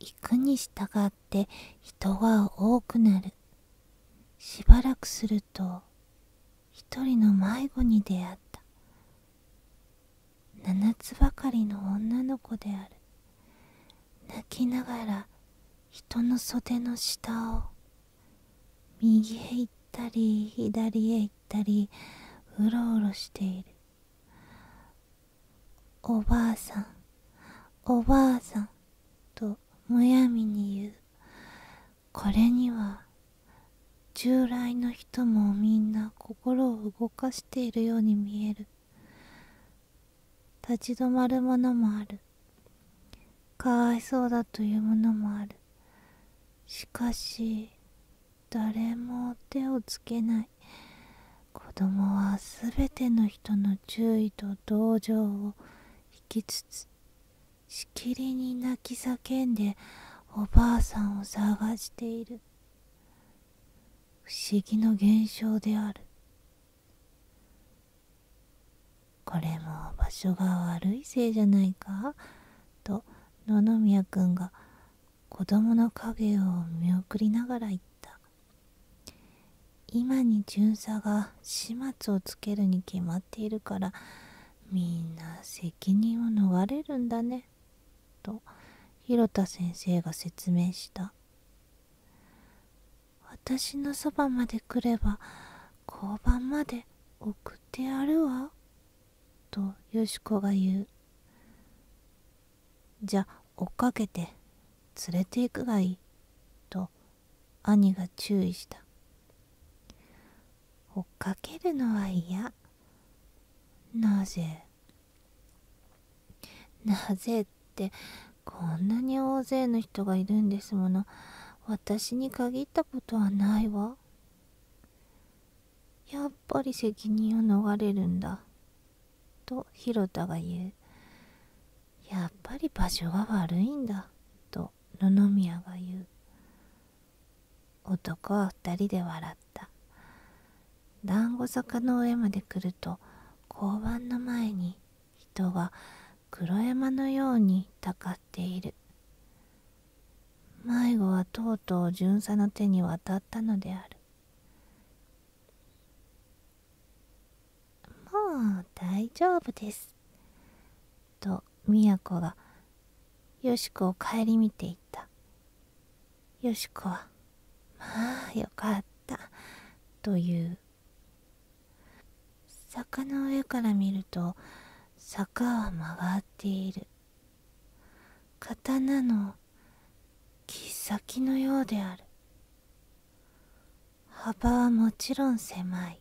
行くに従って人は多くなるしばらくすると一人の迷子に出会った七つばかりの女の子である泣きながら人の袖の下を右へ行ったり左へ行ったりうろうろしているおばあさんおばあさんとむやみに言うこれには従来の人もみんな心を動かしているように見える立ち止まるものもあるかわいそうだというものもあるしかし誰も手をつけない子供は全ての人の注意と同情を引きつつしきりに泣き叫んでおばあさんを探している不思議の現象であるこれも場所が悪いせいじゃないかと野々宮君が子供の影を見送りながら言った今に巡査が始末をつけるに決まっているからみんな責任を逃れるんだねと広田先生が説明した私のそばまで来れば交番まで送ってやるわとよしこが言うじゃ追っかけて連れて行くがいいと兄が注意した追っかけるのは嫌なぜなぜってこんなに大勢の人がいるんですもの私に限ったことはないわやっぱり責任を逃れるんだと広田が言うやっぱり場所が悪いんだと野々宮が言う男は2人で笑った団子坂の上まで来ると交番の前に人が黒山のようにたかっている迷子はとうとう巡査の手に渡ったのであるもう大丈夫ですと宮子がよしこを顧みていったよしこは「まあよかった」という坂の上から見ると坂は曲がっている刀の切っ先のようである幅はもちろん狭い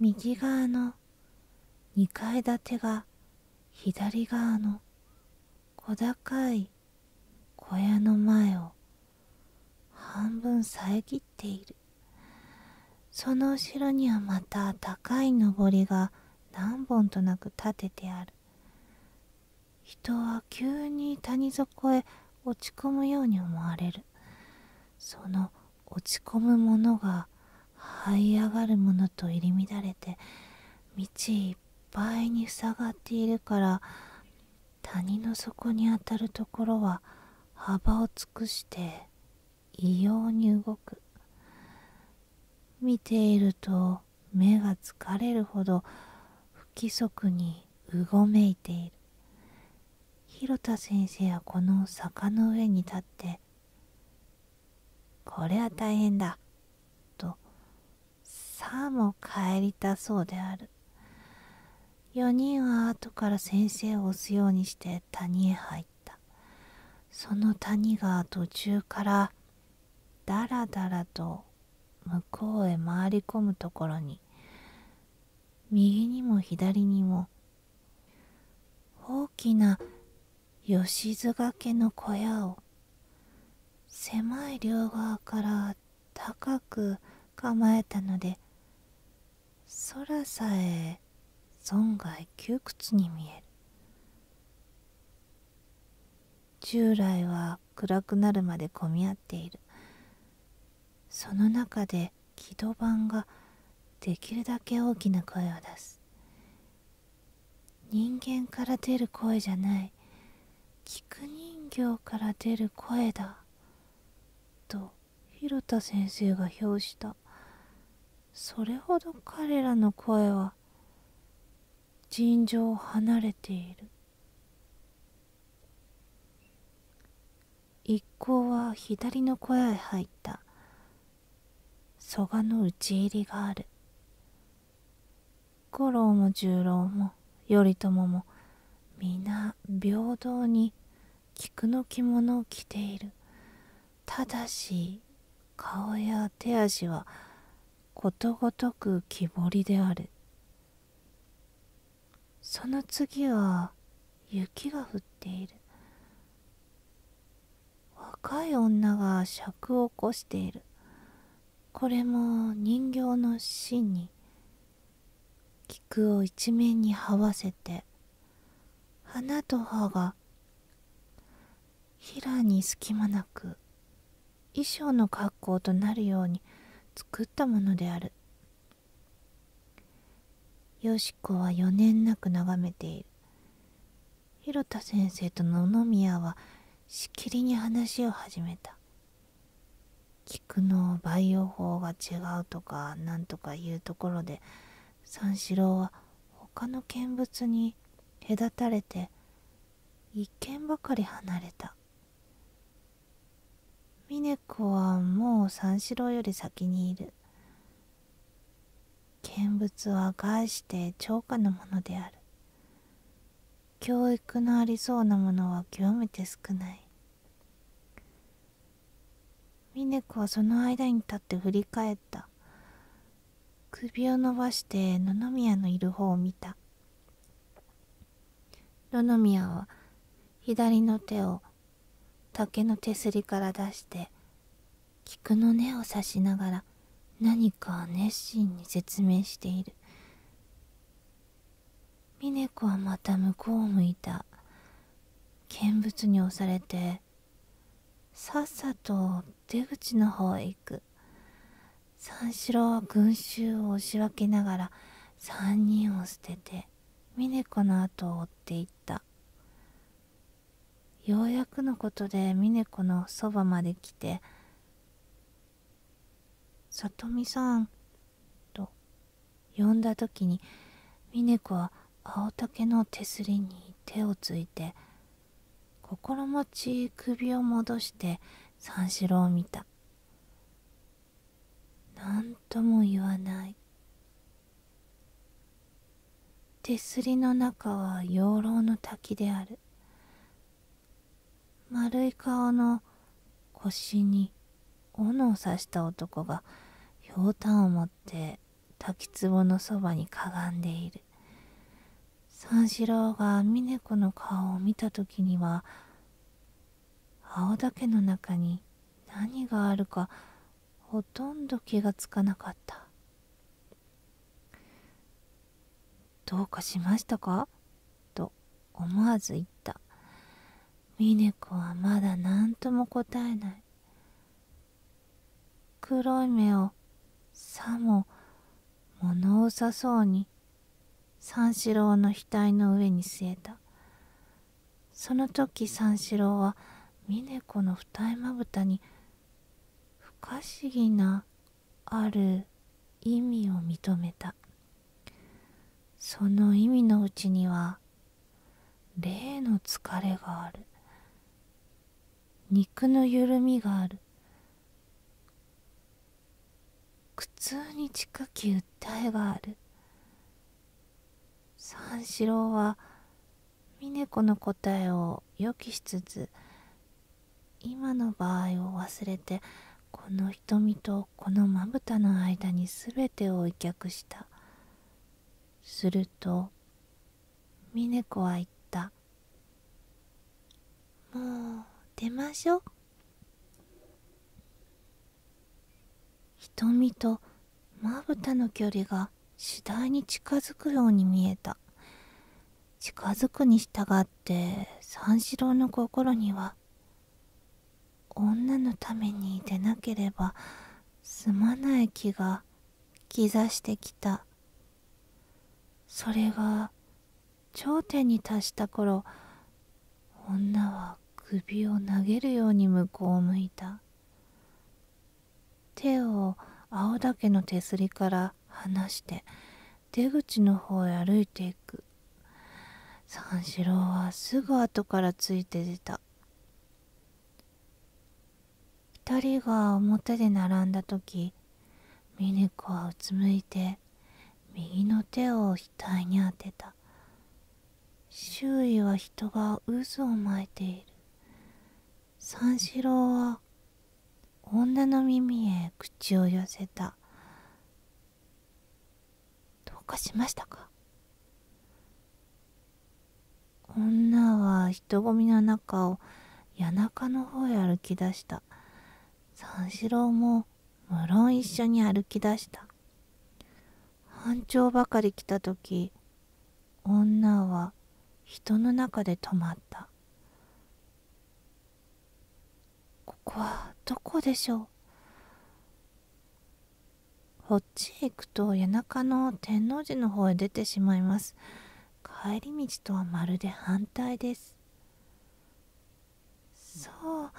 右側の2階建てが左側の小高い小屋の前を半分遮っているその後ろにはまた高い上りが何本となく立ててある人は急に谷底へ落ち込むように思われるその落ち込むものが這い上がるものと入り乱れて道いっぱいに塞がっているから谷の底にあたるところは幅を尽くして異様に動く見ていると目が疲れるほど不規則にうごめいている広田先生はこの坂の上に立って「これは大変だ」とさあ、も帰りたそうである4人は後から先生を押すようにして谷へ入ったその谷が途中からだらだらと向こうへ回り込むところに右にも左にも大きな吉津掛けの小屋を狭い両側から高く構えたので空さえ損害窮屈に見える従来は暗くなるまで混み合っているその中で木戸版ができるだけ大きな声を出す人間から出る声じゃない菊人形から出る声だと広田先生が評したそれほど彼らの声は尋常を離れている一行は左の小屋へ入った蘇我の討ち入りがある五郎も十郎も頼朝も皆平等に菊の着物を着ているただし顔や手足はことごとく木彫りであるその次は雪が降っている若い女が尺を起こしているこれも人形の芯に菊を一面に這わせて花と葉がひらに隙間なく衣装の格好となるように作ったものであるよしこは余念なく眺めている広田先生と野々宮はしきりに話を始めた菊の培養法が違うとかなんとかいうところで三四郎は他の見物に隔たれて一軒ばかり離れた峰子はもう三四郎より先にいる見物は概して超過のものである教育のありそうなものは極めて少ない峰子はその間に立って振り返った首を伸ばして野々宮のいる方を見た野々宮は左の手を竹の手すりから出して菊の根を刺しながら何か熱心に説明している峰子はまた向こうを向いた見物に押されてさっさと出口の方へ行く三四郎は群衆を押し分けながら3人を捨てて峰子の後を追っていったようやくのことで峰子のそばまで来て「里美さん」と呼んだ時に峰子は青竹の手すりに手をついて心持ち首を戻して三四郎を見た何とも言わない手すりの中は養老の滝である丸い顔の腰に斧を刺した男がひょうたんを持って滝壺のそばにかがんでいる三四郎が峰子の顔を見た時には青竹の中に何があるかほとんど気がつかなかったどうかしましたかと思わず言った峰子はまだ何とも答えない黒い目をさも物うさそうに三四郎の額の上に据えたその時三四郎は峰子の二重まぶたに不可思議なある意味を認めたその意味のうちには霊の疲れがある肉の緩みがある苦痛に近き訴えがある三四郎は峰子の答えを予期しつつ今の場合を忘れてこの瞳とこのまぶたの間に全てを威却したすると峰子は言った「もう出ましょう」瞳とまぶたの距離が次第に近づくように見えた近づくに従って三四郎の心には女のために出なければすまない気が刻してきたそれが頂点に達した頃女は首を投げるように向こうを向いた手を青岳の手すりから離して出口の方へ歩いていく三四郎はすぐ後からついて出た二人が表で並んだ時ミネコはうつむいて右の手を引周囲は人が渦を巻いている三四郎は女の耳へ口を寄せたどうかしましたか女は人混みの中を谷中の方へ歩き出した三四郎も無論一緒に歩き出した半丁ばかり来た時女は人の中で止まったここはどこでしょうこっちへ行くと谷中の天王寺の方へ出てしまいます帰り道とはまるで反対ですそう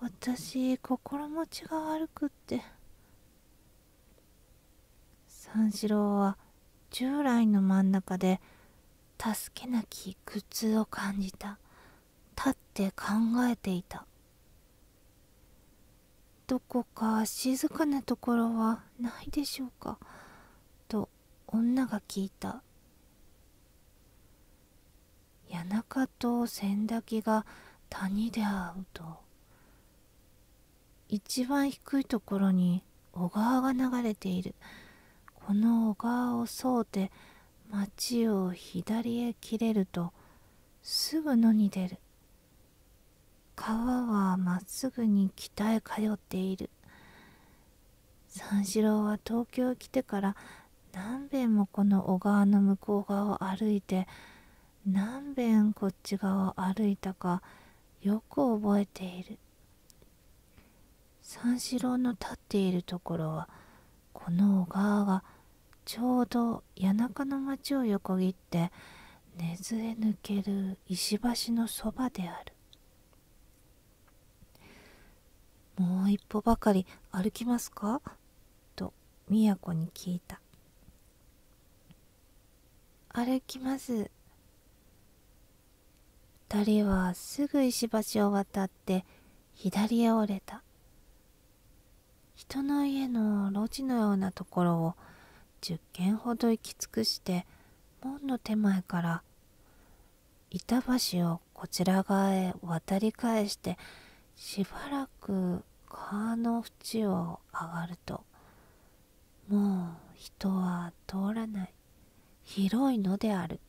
私心持ちが悪くって三四郎は従来の真ん中で助けなき苦痛を感じた立って考えていたどこか静かなところはないでしょうかと女が聞いた谷中と千滝が谷で会うと一番低いところに小川が流れているこの小川を沿うて町を左へ切れるとすぐ野に出る川はまっすぐに北へ通っている三四郎は東京来てから何べんもこの小川の向こう側を歩いて何べんこっち側を歩いたかよく覚えている三四郎の立っているところはこの小川がちょうど谷中の町を横切って根津へ抜ける石橋のそばであるもう一歩ばかり歩きますかと宮子に聞いた歩きます2人はすぐ石橋を渡って左へ折れた人の家の路地のようなところを10軒ほど行き尽くして門の手前から板橋をこちら側へ渡り返してしばらく川の縁を上がるともう人は通らない広いのである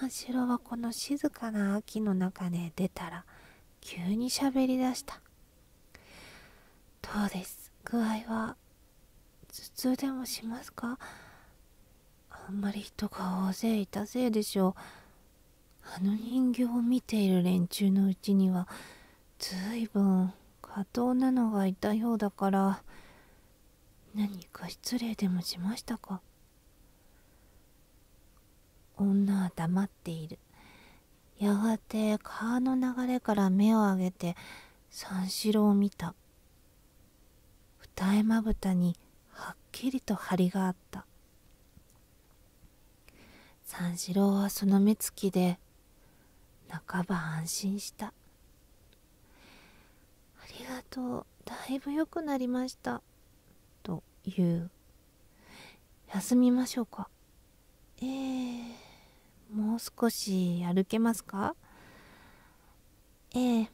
三四郎はこの静かな秋の中で出たら急にしゃべりだしたどうです具合は頭痛でもしますかあんまり人が大勢いたせいでしょうあの人形を見ている連中のうちにはずいぶん過当なのがいたようだから何か失礼でもしましたか女は黙っているやがて川の流れから目を上げて三四郎を見た二重まぶたにはっきりと張りがあった三四郎はその目つきで半ば安心した「ありがとうだいぶ良くなりました」と言う「休みましょうか」ええもう少し歩けますかええ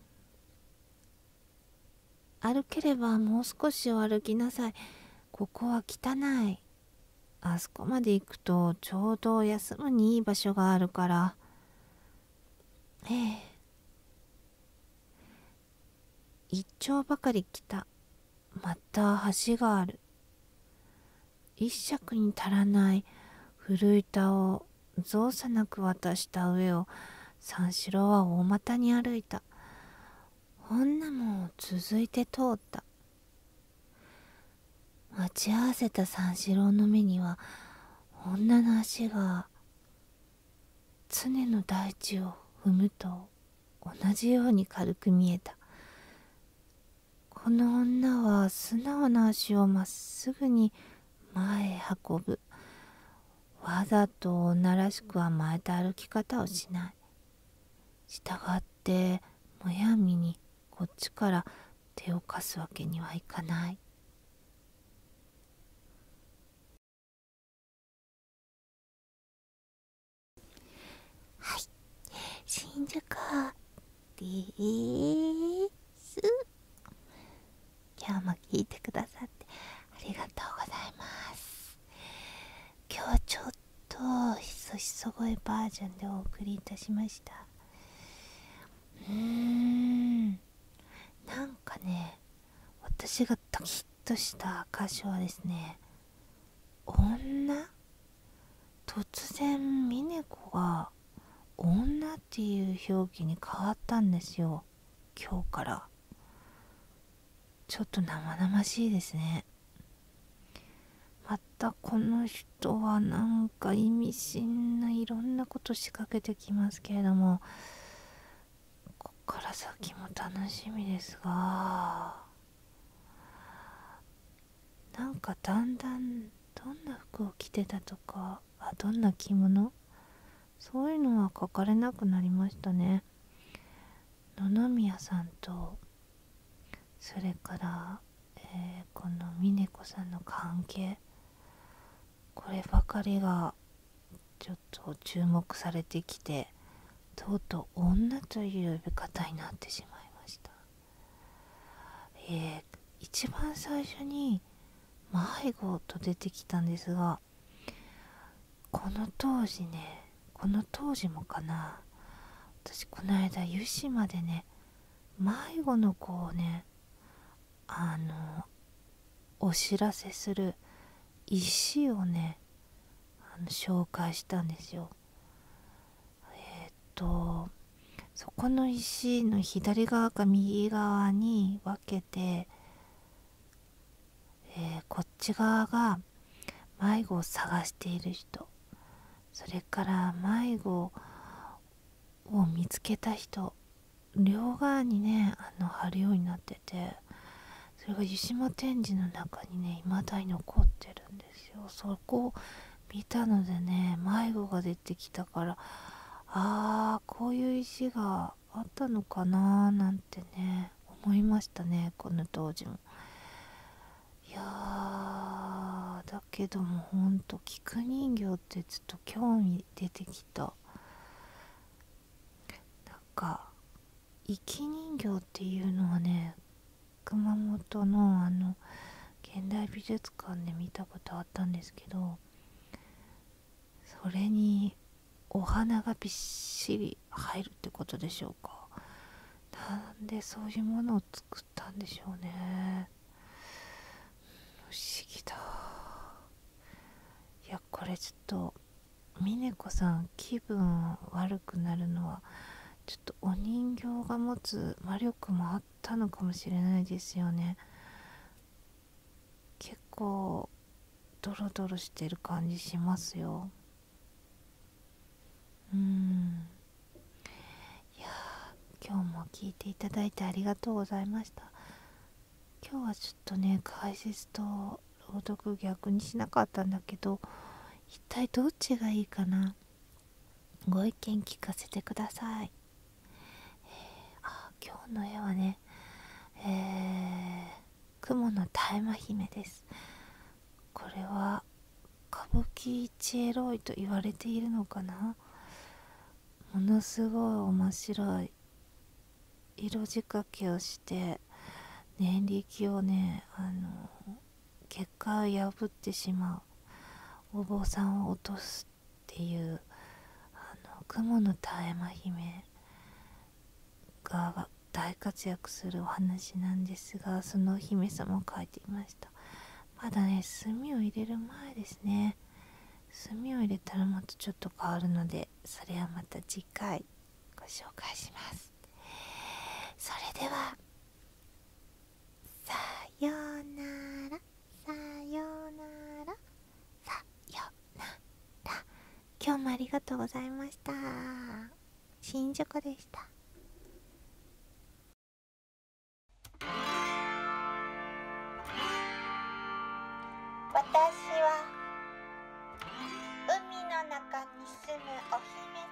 歩ければもう少しお歩きなさいここは汚いあそこまで行くとちょうど休むにいい場所があるからええ一丁ばかり来たまた橋がある一尺に足らない古板を造作なく渡した上を三四郎は大股に歩いた女も続いて通った待ち合わせた三四郎の目には女の足が常の大地を踏むと同じように軽く見えたこの女は素直な足をまっすぐに前運ぶわざと女らしく甘えた歩き方をしないしたがってむやみにこっちから手を貸すわけにはいかないはい新宿です今日も聞いてくださってありがとうございます今日はちょっとひそひそ声バージョンでお送りいたしましたうーんなんかね私がドキッとした歌詞はですね女突然峰子が女っていう表記に変わったんですよ今日からちょっと生々しいですねまたこの人はなんか意味深ないろんなこと仕掛けてきますけれどもこっから先も楽しみですがなんかだんだんどんな服を着てたとかあどんな着物そういうのは書かれなくなりましたね野々宮さんとそれから、えこの峰子さんの関係こればかりがちょっと注目されてきてとうとう女という呼び方になってしまいましたえ一番最初に迷子と出てきたんですがこの当時ねこの当時もかな私この間湯島でね迷子の子をねあのお知らせする石をね紹介したんですよえっとそこの石の左側か右側に分けて、えこっち側が迷子を探している人それから迷子を見つけた人両側にねあの貼るようになっててそれが湯島展示の中にね未だに残ってるんですよそこ見たのでね迷子出てきたからああこういう石があったのかななんてね思いましたねこの当時もいやーだけどもほんと菊人形ってちょっと興味出てきたなんか生人形っていうのはね熊本のあの現代美術術館で見たことあったんですけどそれにお花がびっしり入るってことでしょうかなんでそういうものを作ったんでしょうね不思議だいやこれちょっと峰子さん気分悪くなるのはちょっとお人形が持つ魔力もあたのかもしれないですよね結構ドロドロしてる感じしますようんいや今日も聞いていただいてありがとうございました今日はちょっとね解説と朗読逆にしなかったんだけど一体どっちがいいかなご意見聞かせてください、えー、あ今日の絵はねえ雲の大麻姫ですこれは歌舞伎一エロいと言われているのかなものすごい面白い色仕掛けをして念力をねあの結果を破ってしまうお坊さんを落とすっていうあの雲の絶え間姫が大活躍するお話なんですがそのお姫様を描いていましたまだね墨を入れる前ですね墨を入れたらまたちょっと変わるのでそれはまた次回ご紹介しますそれではさよならさよならさよなら今日もありがとうございました新宿でした私は海の中に住むお姫様